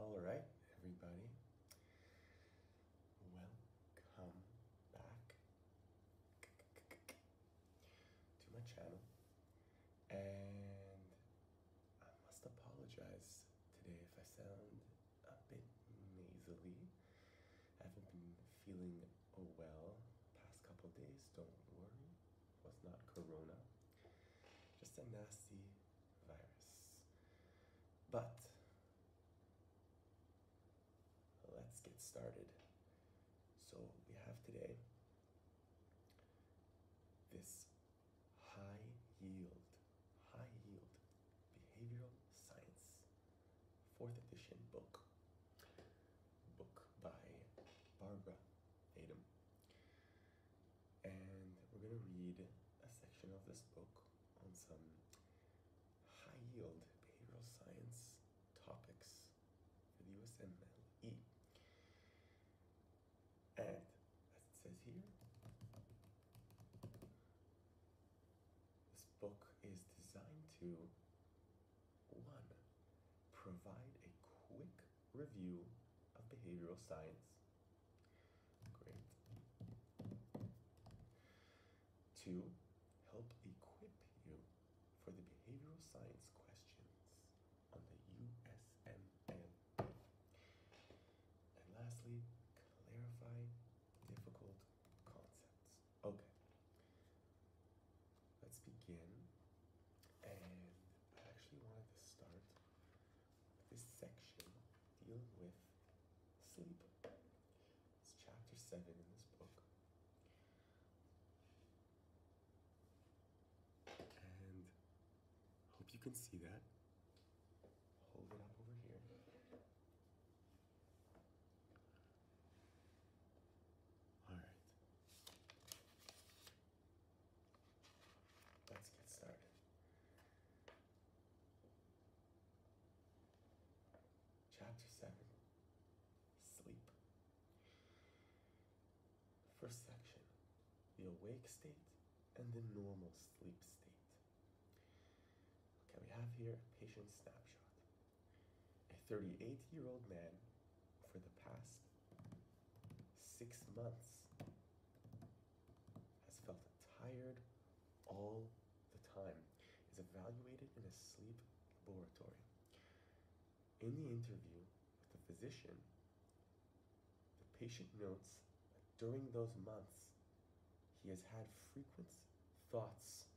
All right, everybody. Welcome back to my channel. And I must apologize today if I sound a bit nasally. I haven't been feeling oh well past couple days. Don't worry, it was not corona, just a nasty virus. But let's get started. So we have today this high yield, high yield behavioral science fourth edition book, book by Barbara Tatum. And we're going to read a section of this book on some high yield behavioral science topics for the USMLE. And as it says here, this book is designed to one, provide a quick review of behavioral science. Great. Two, help equip you for the behavioral science questions on the USMN. And lastly, clarify difficult concepts. Okay. Let's begin. And I actually wanted to start this section dealing with sleep. It's chapter 7 in this book. And hope you can see that. Hold it up over here. All right. Let's get started. Chapter 7 Sleep. First section The awake state and the normal sleep state. Okay, we have here patient snapshot a 38 year old man for the past six months has felt tired all the time, is evaluated in a sleep laboratory. In the interview with the physician, the patient notes that during those months he has had frequent thoughts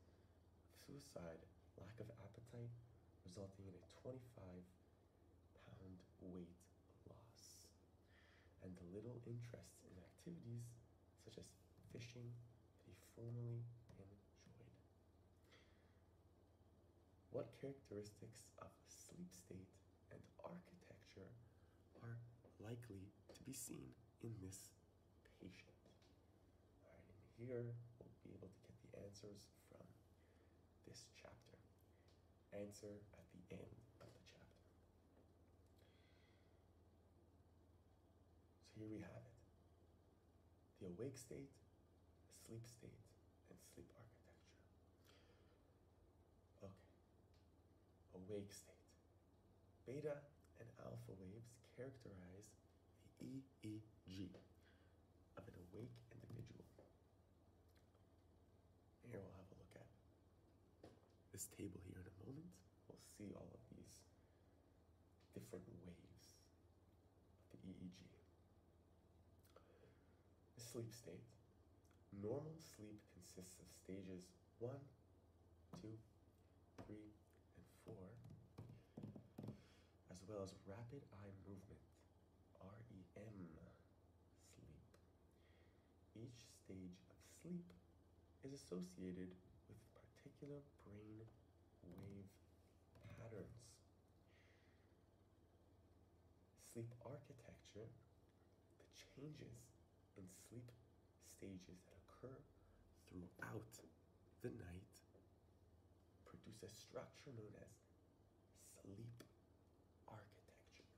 suicide, lack of appetite, resulting in a 25 pound weight loss, and little interest in activities such as fishing that he formerly enjoyed. What characteristics of sleep state and architecture are likely to be seen in this patient. All right, here we'll be able to get the answers from this chapter. Answer at the end of the chapter. So here we have it. The awake state, sleep state, and sleep architecture. Okay. Awake state. Beta and alpha waves characterize the EEG of an awake individual. Here we'll have a look at this table here in a moment. We'll see all of these different waves of the EEG. The sleep state. Normal sleep consists of stages one, two, three and four, as well as rapid eye movement, REM, sleep. Each stage of sleep is associated with particular brain wave patterns. Sleep architecture, the changes in sleep stages that occur throughout the night produce a structure known as sleep architecture.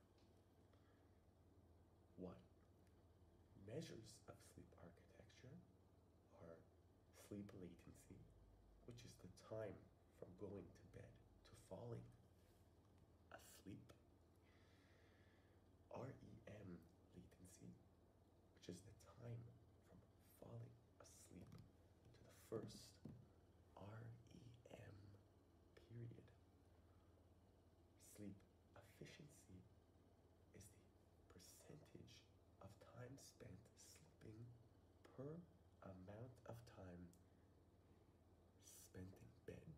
One, measures of sleep architecture are sleep latency, which is the time from going to bed to falling asleep, REM latency, which is the time from falling asleep to the first REM period. Sleep efficiency is the percentage of time spent sleeping per amount of time spent in bed.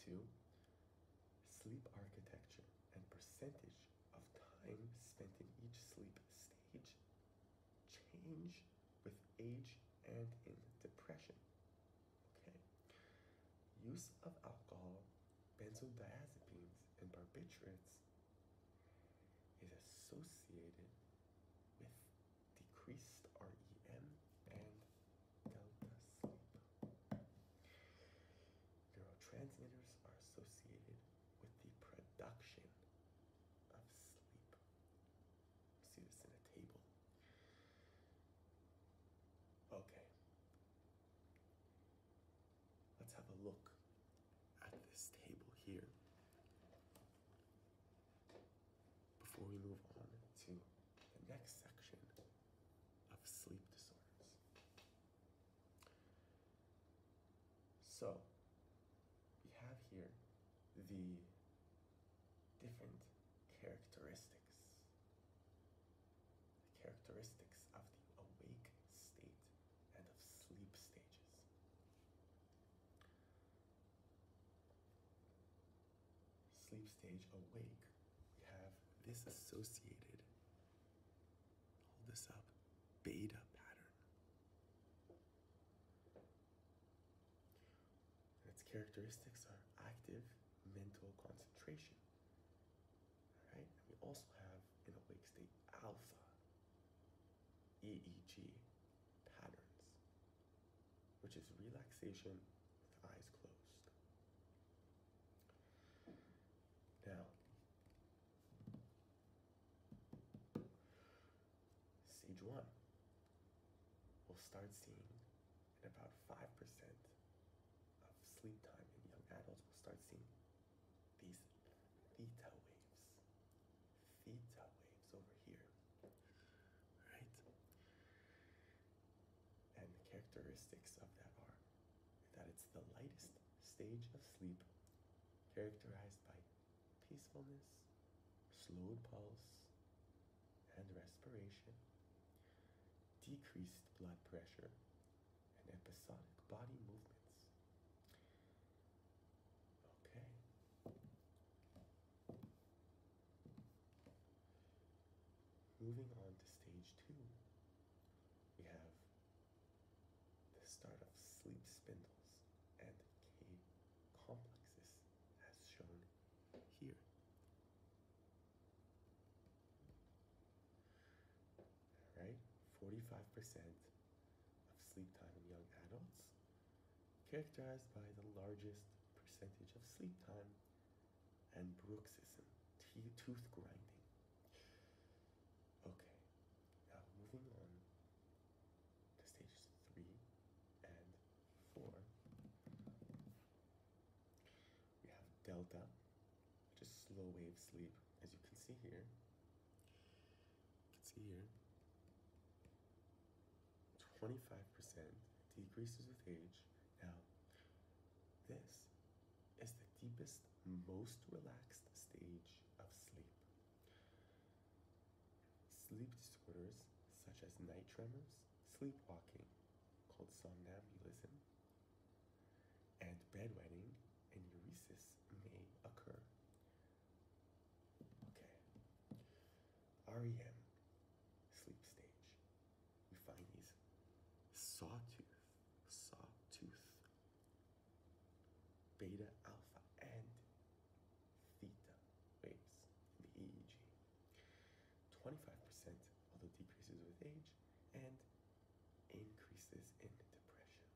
Two, sleep architecture and percentage of time spent in each sleep stage change with age and in depression. Okay. Use of alcohol, benzodiazepines, and barbiturates is associated with decreased REM and delta sleep neurotransmitters are associated with the production of sleep. see this in a table. Okay. Let's have a look at this table here before we move on to the next section of sleep disorders. So we have here the different characteristics, characteristics of the awake state and of sleep stages. Sleep stage awake, we have this associated this up. Beta pattern. its characteristics are active mental concentration. All right, we also have in a wake state alpha EEG patterns, which is relaxation with eyes closed. Now, Stage one we will start seeing in about 5% of sleep time in young adults, we'll start seeing these theta waves. Theta waves over here, right? And the characteristics of that are that it's the lightest stage of sleep, characterized by peacefulness, slowed pulse and respiration, decreased blood pressure, and episodic body movements. Okay. Moving on to stage two, we have the start of sleep spindles and K complexes as shown here. All right, 45% of sleep time in young adults characterized by the largest percentage of sleep time and bruxism, tooth grinding. Okay, now moving on to stages three and four, we have delta, which is slow wave sleep, as you can see here. You can see here, 25% decreases with age. Now, this is the deepest, most relaxed stage of sleep. Sleep disorders such as night tremors, sleepwalking, called somnambulism, and bedwetting and uresis may occur. Okay, REM, sleep stage. We find these sawtooth, sawtooth beta, alpha, and theta waves the EEG. 25% although decreases with age and increases in depression.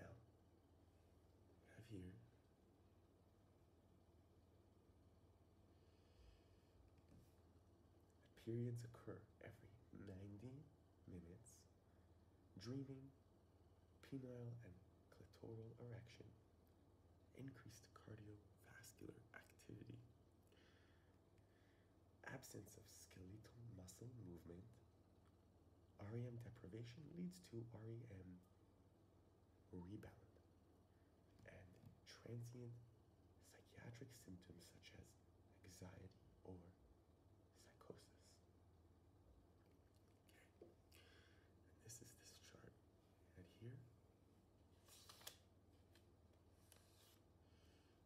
Now, have you? Periods occur every 90 minutes. Dreaming, penile and clitoral erection, increased cardiovascular activity, absence of skeletal muscle movement. REM deprivation leads to REM rebound and transient psychiatric symptoms such as anxiety or psychosis. Okay. this is this chart right here.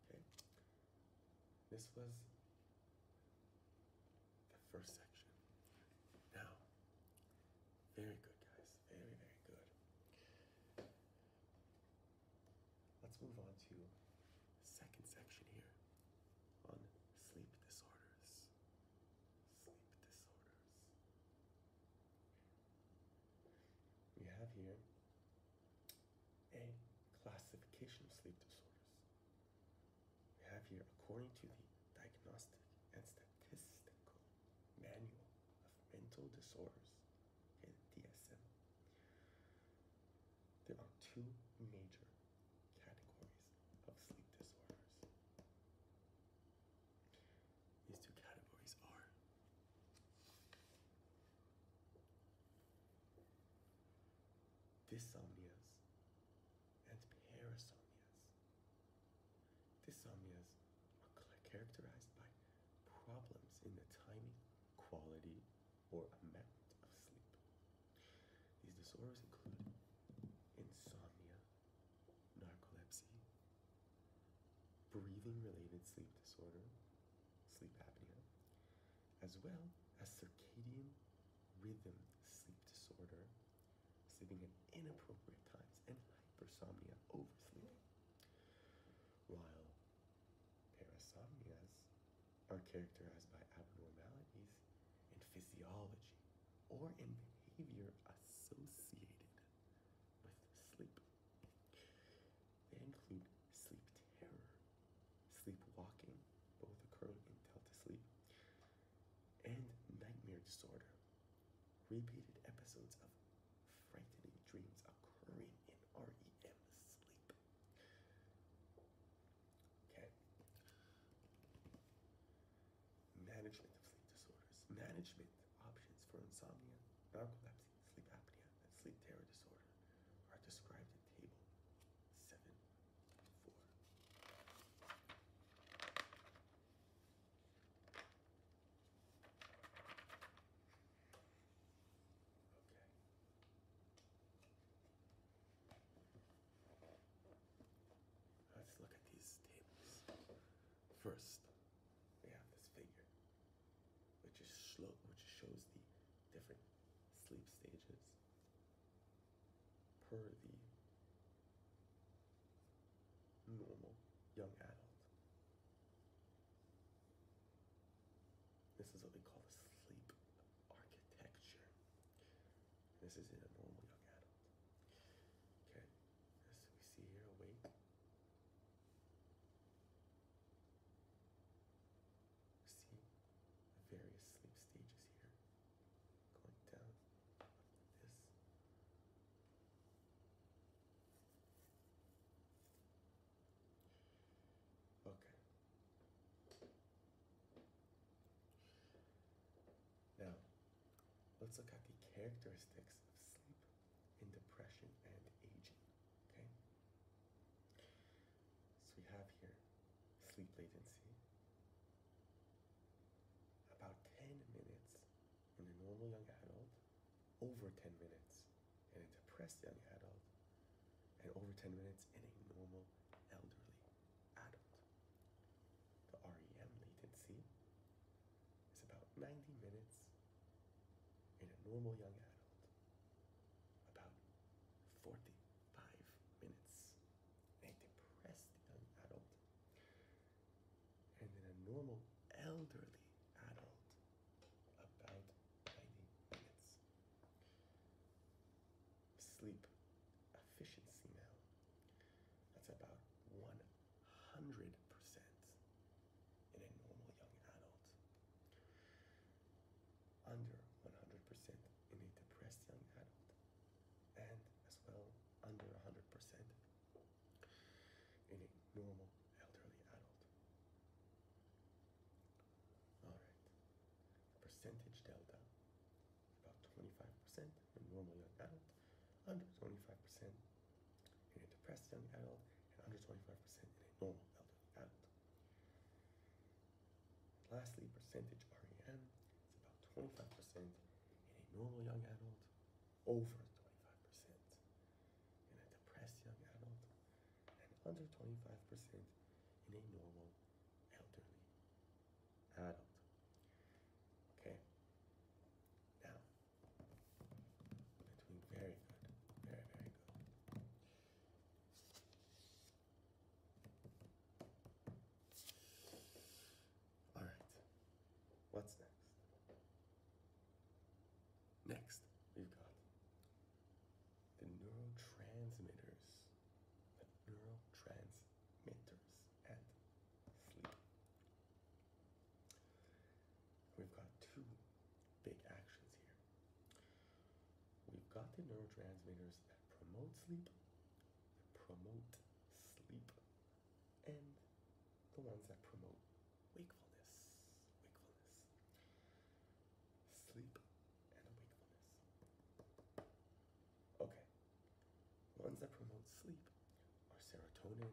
Okay. This was the first section. Now, very good guys, very, very good. Let's move on to second section here on sleep disorders. Sleep disorders. We have here a classification of sleep disorders. We have here, according to the Diagnostic and Statistical Manual of Mental Disorders, okay, DSM, there are two major categories of sleep disorders. These two categories are dysomnias and parasomnias. Dysomnias are characterized by problems in the timing, quality, or amount of sleep. These disorders include insomnia, narcolepsy, breathing related sleep disorder, sleep apnea, as well as circadian rhythm sleep disorder, sleeping at inappropriate times, and hypersomnia, oversleeping. While Parasomnias are characterized by abnormalities in physiology or in behavior associated with sleep. They include sleep terror, sleepwalking, both occurring in delta sleep, and nightmare disorder, repeated episodes of frightening dreams occurring in REM sleep. Okay. Management of sleep disorders. Management options for insomnia, narcolepsy, sleep apnea, and sleep terror disorder are described in Table 7 4. Okay. Let's look at these tables. First, we have this figure, which is shlo which shows the different sleep stages per the normal young adult. This is what we call the sleep architecture. This is in a normal young adult. Okay, as we see here, awake. See the various sleep stages here. Going down like this. Okay. Now, let's look at the characteristics of sleep in depression and aging. Okay? So we have here sleep latency, about 10 minutes in a normal young adult, over 10 minutes in a depressed young adult, and over 10 minutes in a normal elderly adult. The REM latency is about 90 minutes in a normal young adult, about 45 minutes in a depressed young adult, and in a normal elderly adult, about 90 minutes. Sleep efficiency now. That's about 100% in a normal young adult. Under 100% in a depressed young adult. And as well, under 100% in a normal elderly adult. All right percentage delta, about 25% in a normal young adult, under 25% in a depressed young adult, and under 25% in a normal elderly adult. lastly, percentage REM is about 25% in a normal young adult, over 25% in a depressed young adult, and under 25% in a normal elderly adult. Okay? Now, we very good. Very, very good. All right. What's next? Next, we've got the neurotransmitters, the neurotransmitters and sleep. We've got two big actions here. We've got the neurotransmitters that promote sleep, promote sleep, and the ones that promote wakefulness. Wakefulness sleep and wakefulness. Okay, ones that promote sleep are serotonin,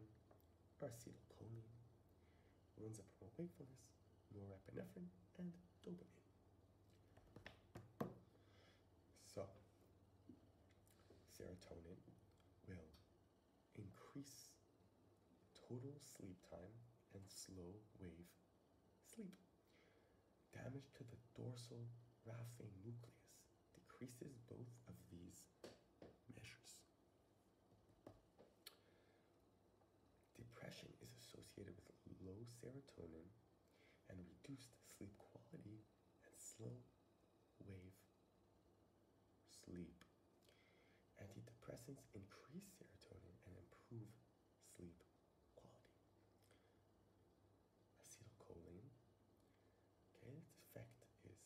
acetylcholine. Ones that promote wakefulness, norepinephrine and dopamine. So, serotonin will increase total sleep time and slow wave sleep. Damage to the dorsal raphe nucleus decreases both of these measures. Depression is associated with low serotonin and reduced sleep quality and slow wave sleep. Antidepressants increase serotonin and improve sleep quality. Acetylcholine, okay, its effect is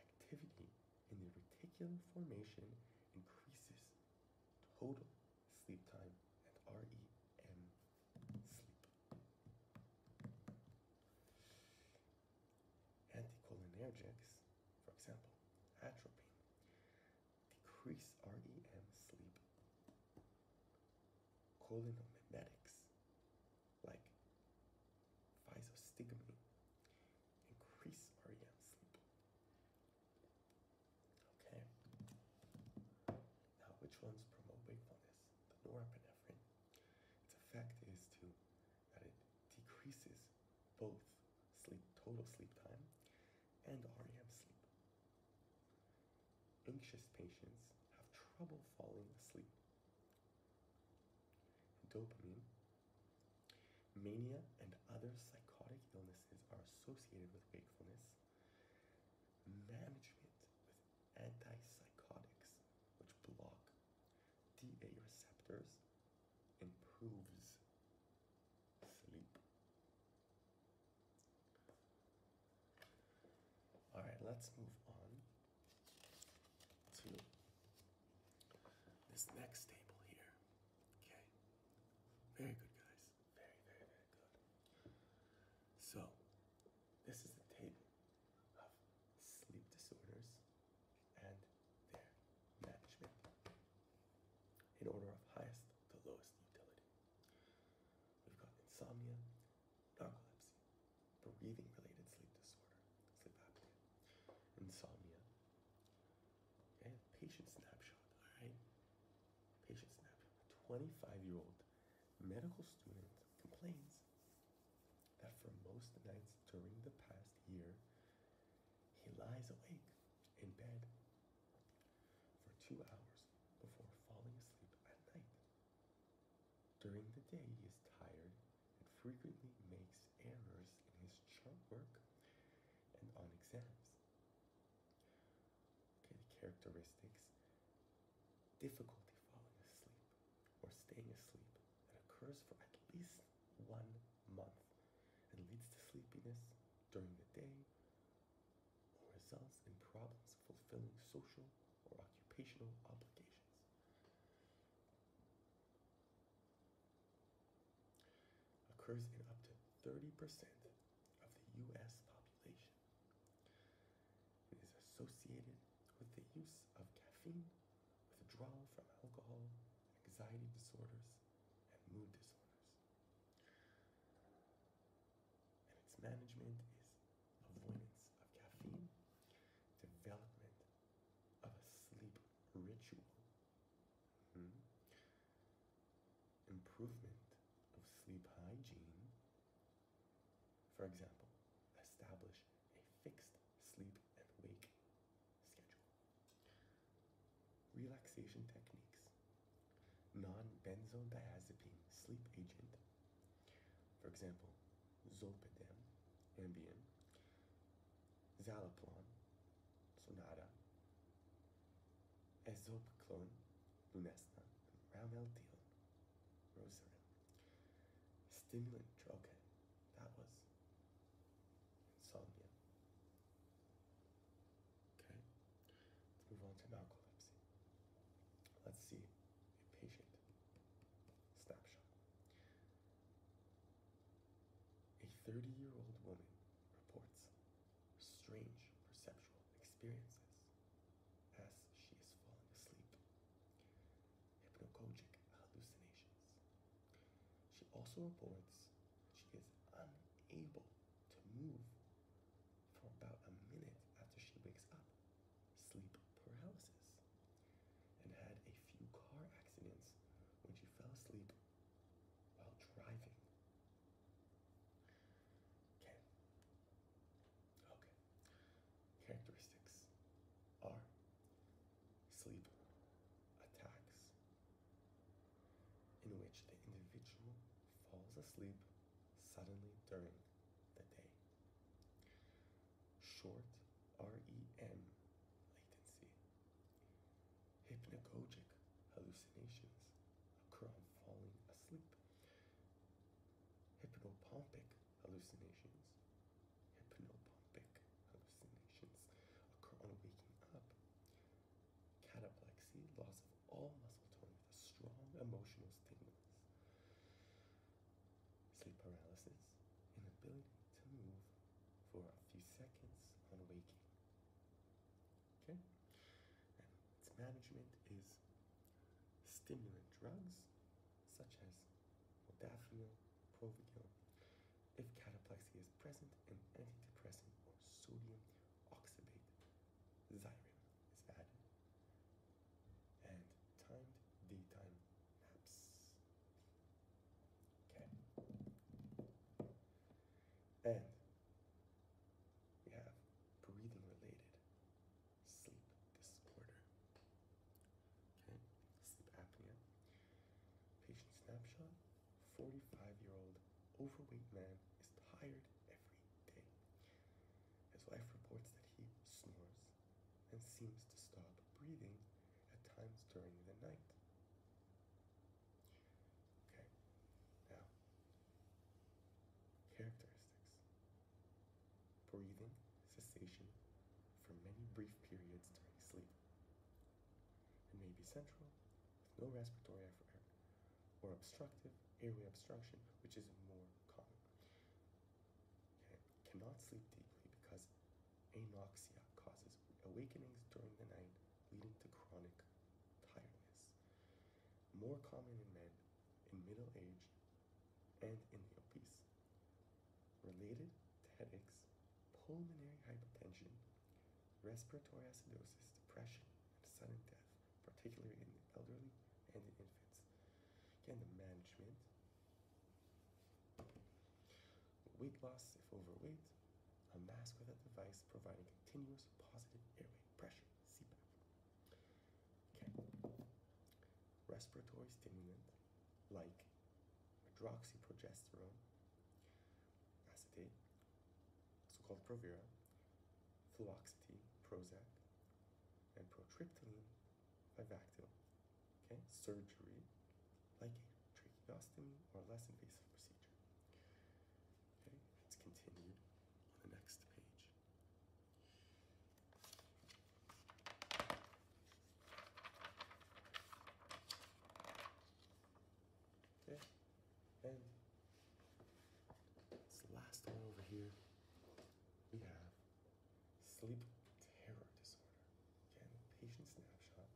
activity in the reticular formation increases total sleep time and REM sleep. Anticholinergics, for example, atropine, decrease REM sleep. Cholinomimetics like physostigmine increase REM sleep. Okay. Now, which ones promote wakefulness? The norepinephrine. Its effect is to that it decreases both sleep total sleep time and REM sleep. Anxious patients have trouble falling asleep. Dopamine, mania, and other psychotic illnesses are associated with wakefulness. Management with antipsychotics, which block DA receptors, improves sleep. All right, let's move on to this next table here. Okay. Very good, guys. Very, very, very good. So, this is the table of sleep disorders and their management in order of highest to lowest utility. We've got insomnia, narcolepsy, breathing related sleep disorder, sleep apnea, insomnia. and patient snapshot, all right? Patient snapshot. 25 year old medical student complains that for most nights during the past year, he lies awake in bed for two hours before falling asleep at night. During the day, he is tired and frequently makes errors in his chart work and on exams. Okay, the characteristics difficulty falling asleep or staying asleep that occurs for at least one month and leads to sleepiness during the day results in problems fulfilling social or occupational obligations. Occurs in up to 30% of the U.S. population. It is associated with the use of caffeine, withdrawal from alcohol, anxiety disorders, and mood disorders and its management is avoidance of caffeine, development of a sleep ritual, hmm, improvement of sleep hygiene. For example, establish a fixed sleep and wake schedule. Relaxation techniques non-benzodiazepine sleep agent. For example, zolpidem, Ambien, Zalopron, Sonata, Ezopiclone, Lunesta, Ramelteon, Rosarin. Stimulant drug. that was insomnia. Okay. Let's move on to narcolepsy. Let's see a patient snapshot. A 30 year old woman reports strange perceptual experiences as she is falling asleep, hypnagogic hallucinations. She also reports that she is unable to move for about a minute after she wakes up sleep paralysis and had a few car accidents when she fell asleep while driving. Okay. Okay. Characteristics are sleep attacks in which the individual falls asleep suddenly during the day. Short REM latency. Hypnagogic hallucinations occur on falling asleep. Hypnopompic hallucinations. Hypnopompic hallucinations occur on waking up. Cataplexy, loss of all muscle tone with a strong emotional stimulus. Sleep paralysis, inability to move for a few seconds on waking. Okay? its management is stimulant drugs such as modafinil, Provigil, if cataplexy is present, and antidepressant or sodium oxybate, Xyrem is added and timed daytime naps. Okay. And we have breathing related sleep disorder. Okay, sleep apnea. Patient snapshot 45 year old overweight man is tired every day. wife reports that he snores and seems to stop breathing at times during the night. Okay, now, characteristics breathing cessation for many brief periods during sleep. It may be central, with no respiratory effort or obstructive airway obstruction, which is more common. Cannot sleep deeply because anoxia causes awakenings during the night, leading to chronic tiredness. More common in men, in middle age, and in the obese. Related to headaches, pulmonary hypertension, respiratory acidosis, depression, and sudden death particularly in the elderly and the infants. Again, the management, weight loss if overweight, a mask with a device providing continuous positive airway pressure, CPAP. Okay. Respiratory stimulant like medroxyprogesterone, acetate, so-called Provera, fluoxetine, Prozac, and protriptyline vivactyl. Okay, surgery, like a tracheostomy or less invasive procedure. Okay, it's continued on the next page. Okay, and it's the last one over here we have sleep terror disorder. Again, patient snapshot.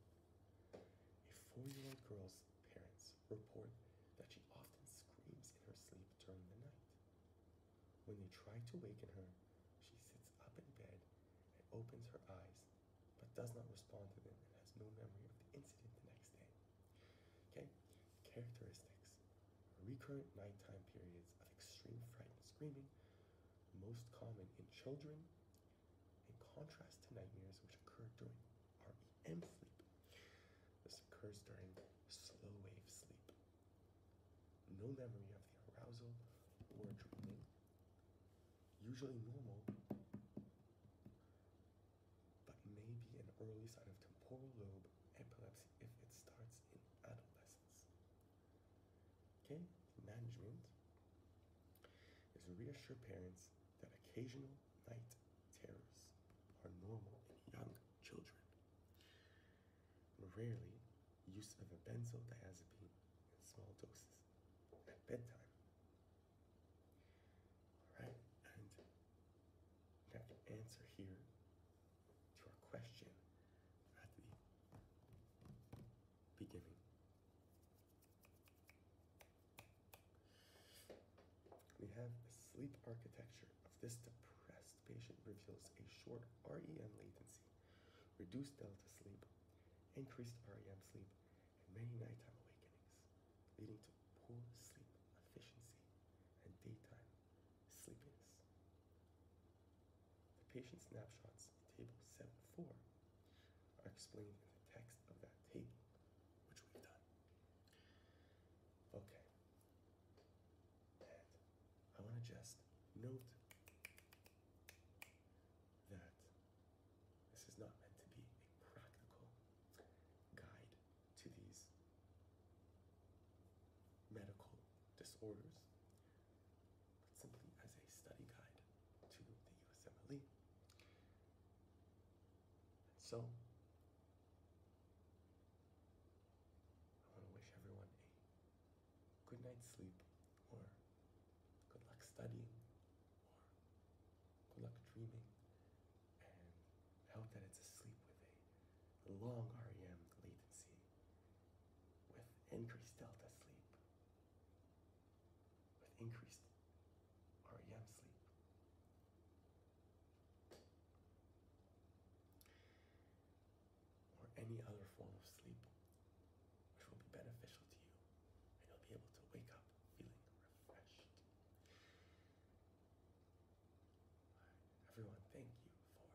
A four-year-old girl's parents report that she often screams in her sleep during the night. When they try to waken her, she sits up in bed and opens her eyes, but does not respond to them and has no memory of the incident the next day. Okay, Characteristics recurrent nighttime periods of extreme fright and screaming, most common in children, in contrast to nightmares which occur during REM sleep. This occurs during slow wave sleep. No memory of the arousal or dreaming. Usually normal, but may be an early sign of temporal lobe epilepsy if it starts in adolescence. Okay, management is to reassure parents that occasional night terrors are normal in young children. Rarely, use of a benzodiazepine in small doses at bedtime. All right, and that answer here to our question at the beginning. We have the sleep architecture of this depressed patient reveals a short REM latency, reduced delta sleep, increased REM sleep, and many nighttime awakenings, leading to poor sleep efficiency and daytime sleepiness. The patient snapshots in Table four are explained in the text of that table, which we've done. Okay. And I want to just note that this is not meant to be a practical guide to these medical disorders, but simply as a study guide to the USMLE. so, I want to wish everyone a good night's sleep, or good luck studying, or good luck dreaming, and I hope that it's a sleep with a long REM latency with increased delta sleep, with increased REM sleep. Or any other form of sleep which will be beneficial to you, and you'll be able to wake up feeling refreshed everyone, thank you for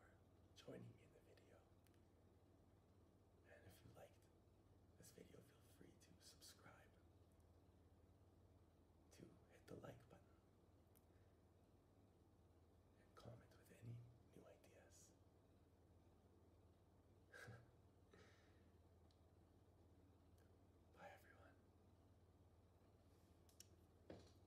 joining me in the video. And if you liked this video, feel free to subscribe, to hit the like button, and comment with any new ideas. Bye, everyone.